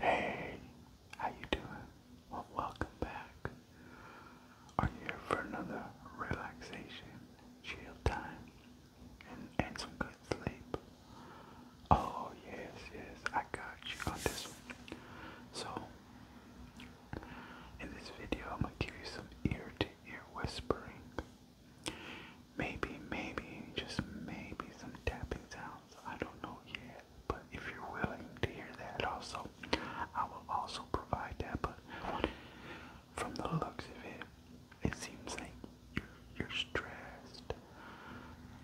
Hey, how you doing? welcome back. Are you here for another relaxation, chill time, and, and some good sleep? Oh yes, yes, I got you on this one. So, in this video, I'm gonna give you some ear-to-ear -ear whispering. Maybe, maybe, just maybe some tapping sounds. I don't know yet. But if you're willing to hear that also, I will also provide that. But from the looks of it, it seems like you're, you're stressed.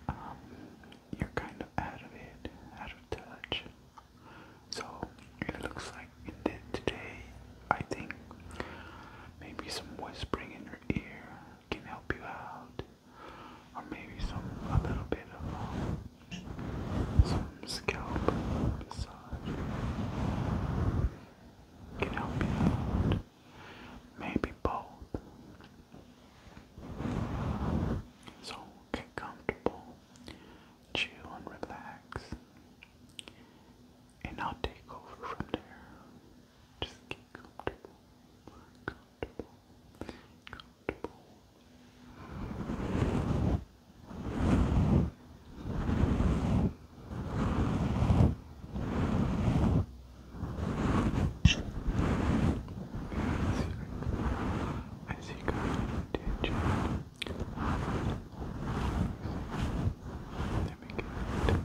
Um, you're kind of out of it, out of touch. So it looks like in did today. I think maybe some whispering in your ear can help you out or maybe some a little bit of some scalp massage can help you out. Maybe both. So get comfortable, chill and relax, and I'll take over from there. Just get Comfortable comfortable, comfortable. I see good intention. Let me get it.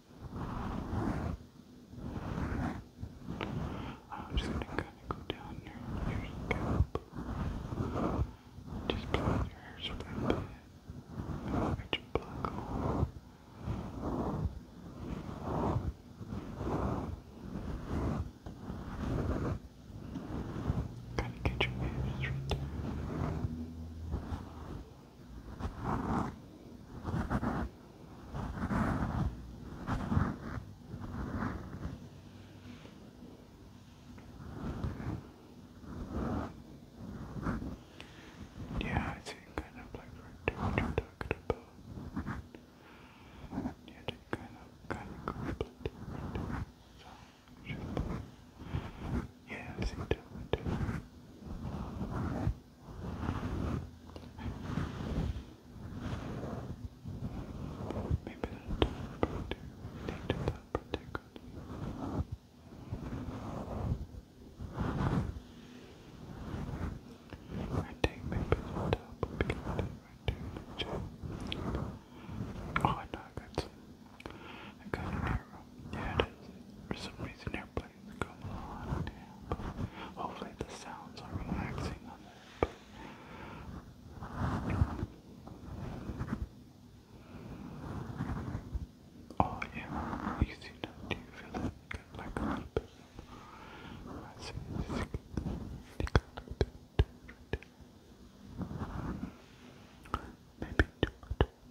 I'm just gonna kinda go down your, your scalp. Just play your hair so that your black hole. kind get your hands right yeah, I kind of like what you're talking about. Yeah, they kind of kind of conflict. Yeah, I see two, two. Maybe that top protector. We need to that protector. I think maybe the top good Oh, I know I got an airplane. Yeah, it is. For some reason, airplanes come on. Yeah, but hopefully, the sounds are relaxing Oh yeah, you see that? Do you feel it? like a little bit. I see. Take a little bit. Maybe.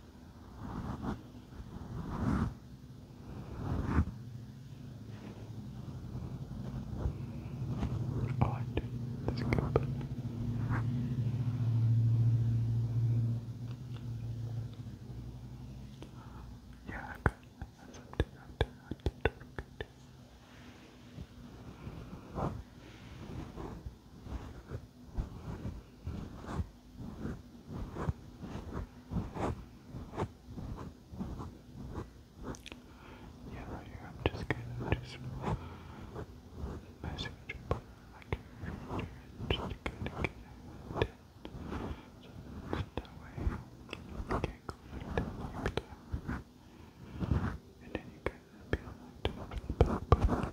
Oh, I like it. That's good. Yeah, I'm good. That's up to you. Up to you. Up to you. Good. Good. Yeah, right here, I'm just gonna do some my signature part like right here, just to get it so that way you can't go like that and then you can be like that for the back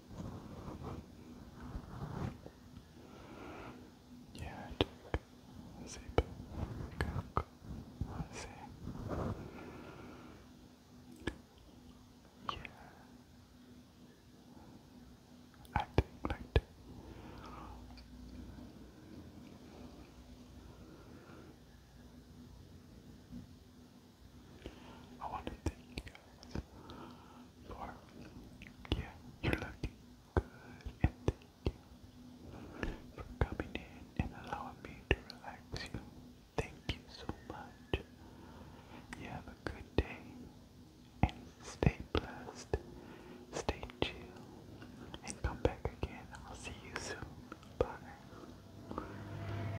Yeah, check. Zip. Cook. See. Yeah. Acting right. I want to thank you guys for, yeah, you looking good, and thank you for coming in and allowing me to relax you. Thank you so much. You have a good day, and stay blessed, stay chill, and come back again. I'll see you soon. Bye.